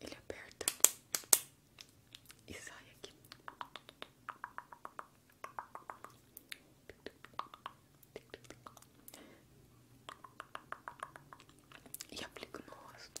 Ele aperta e sai aqui. E aplica no rosto.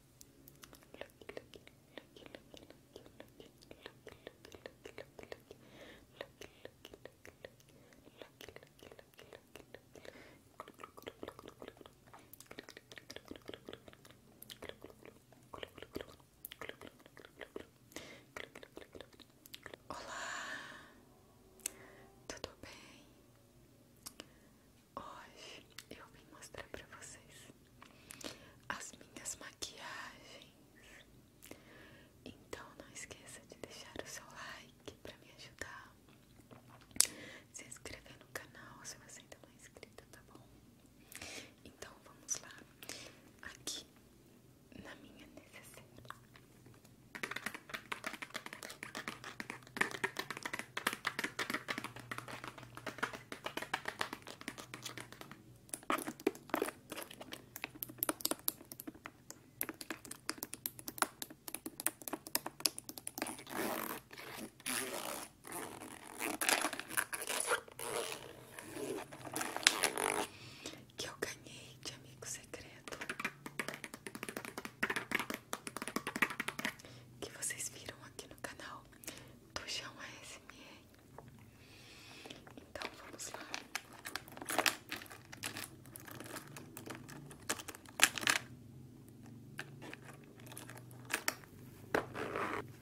Olá, tudo l Hoje eu vim mostrar para vocês as minhas maquiagens. Então não esqueça de deixar o seu like para me ajudar. Se inscrever no canal se você ainda não é inscrito, tá bom? Então vamos lá. Aqui na minha necessaire. Que eu ganhei de amigo secreto. Que vocês viram aqui no canal do chão ASMR. Então vamos lá.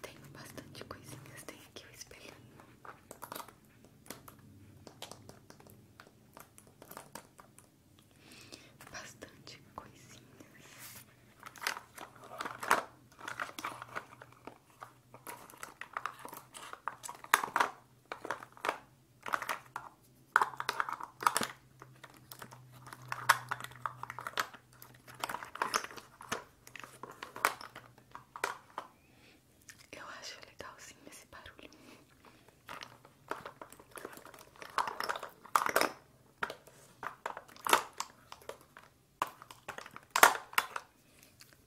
Tenho bastante coisinhas, tem aqui o espelho Bastante coisinhas. Eu acho legal legalzinho esse barulho.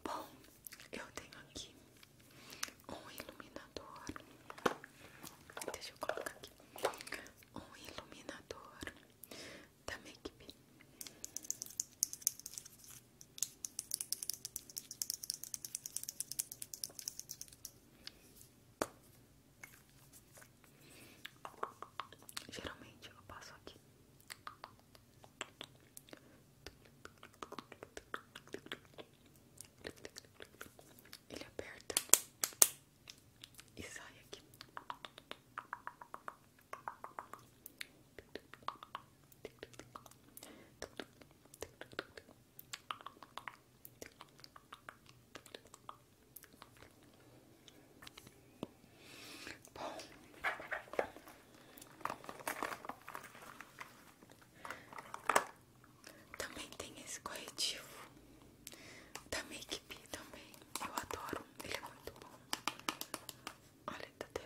Bom, eu tenho aqui um iluminador. Deixa eu colocar aqui. Um iluminador da Make -Bee. Geralmente eu passo aqui. Ele aperta e sai aqui. Bom, também tem esse corretivo da Make Be também. Eu adoro, ele é muito bom. Olha, tá até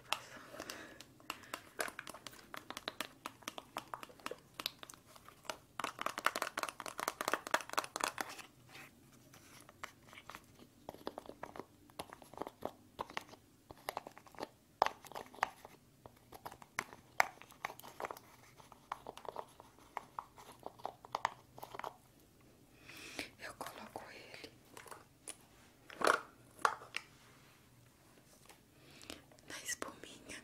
eu coloco ele na espuminha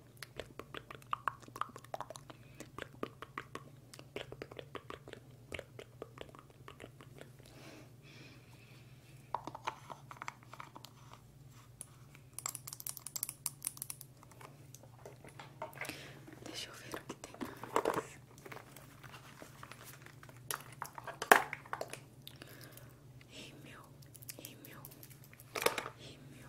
Deixa eu ver o que tem meu mais. meu rímel, meu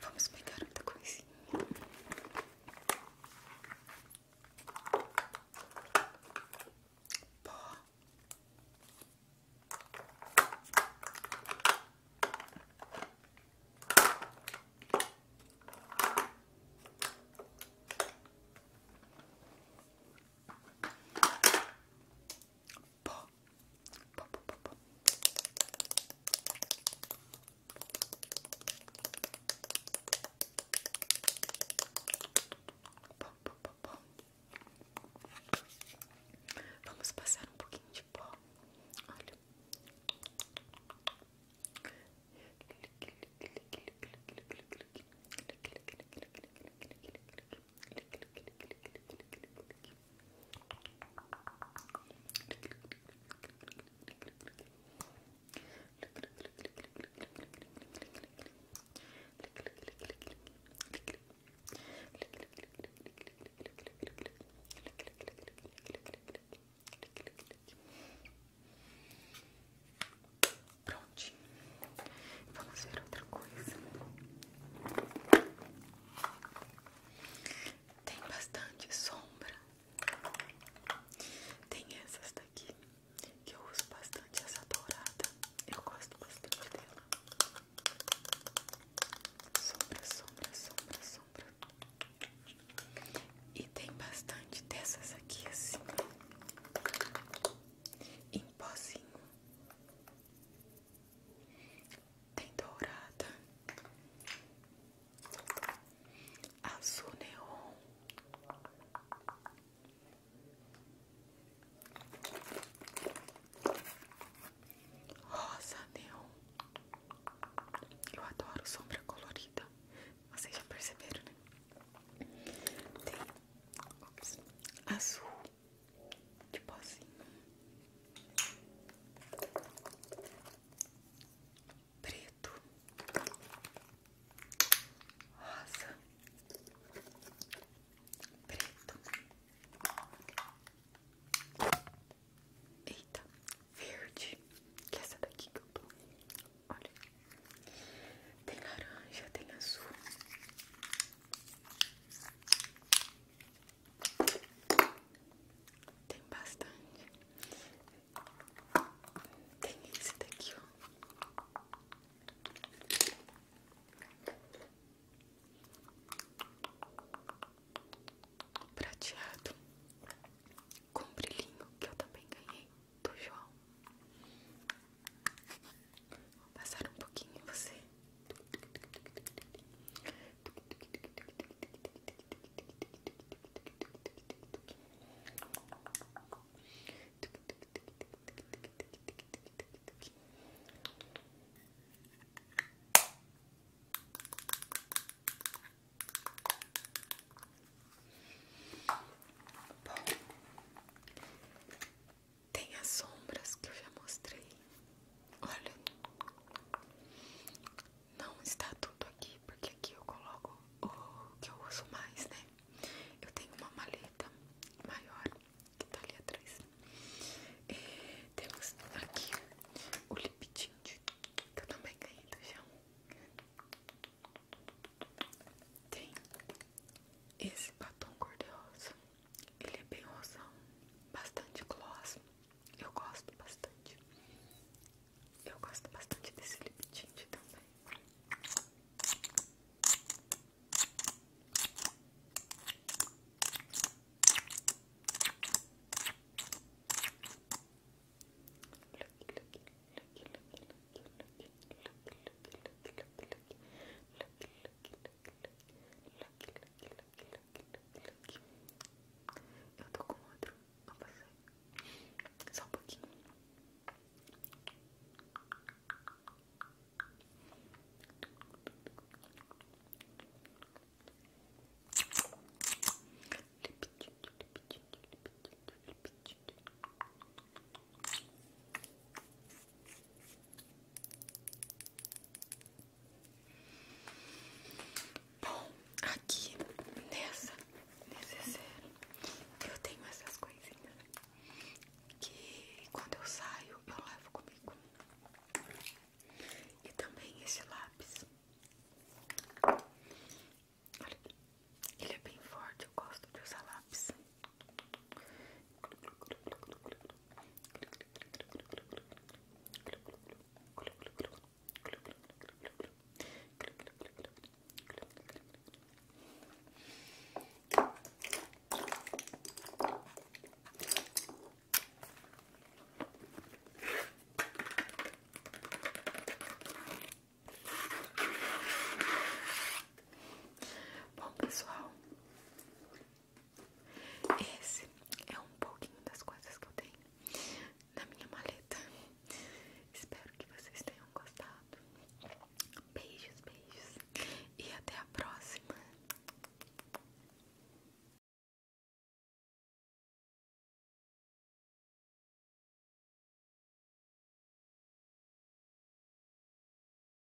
Vamos pegar outra coisinha. Pó pó. Pó, pó, pó, pó. Pó, Vamos passar um pouquinho de pó. Olha. Prontinho, vamos ver outra coisa. Tem bastante sombra. Tem essas daqui que eu uso bastante, essa dourada. Eu gosto bastante dela. Sombra, sombra, sombra, sombra. E tem bastante dessas aqui assim. Em pozinho tem dourada, azul neon, rosa neon. Eu adoro sombra colorida. Vocês já perceberam, né? Tem ops, azul, que tipo assim. Preto. Rosa. Preto. Eita, verde. Que é essa daqui que eu tô. Olha. Tem laranja, tem azul. Tem bastante. Tem esse daqui, ó. Prateado com brilhinho que eu também ganhei do João. Vou passar um pouquinho em você. Bom, tem as sombras que eu já mostrei. Olha, não está tudo aqui, porque aqui eu coloco o que eu uso mais, né? Eu tenho uma maleta maior que tá ali atrás. É, temos aqui o lip tint que eu também ganhei do chão. Tem esse batom cor-de-rosa ele é bem rosão, bastante gloss. Eu gosto bastante. Eu gosto bastante desse lip tint também. Look, look, look, look, look, look, look, look, eu tô com outro pra você. Só um pouquinho. Bom, aqui nessa necessaire eu tenho essas coisinhas que quando eu saio eu levo comigo. E também esse lápis. Olha, ele é bem forte, eu gosto de usar lápis. Bom, pessoal, esse é um pouquinho das coisas que eu tenho na minha maleta. Espero que vocês tenham gostado. Beijos, beijos. E até a próxima.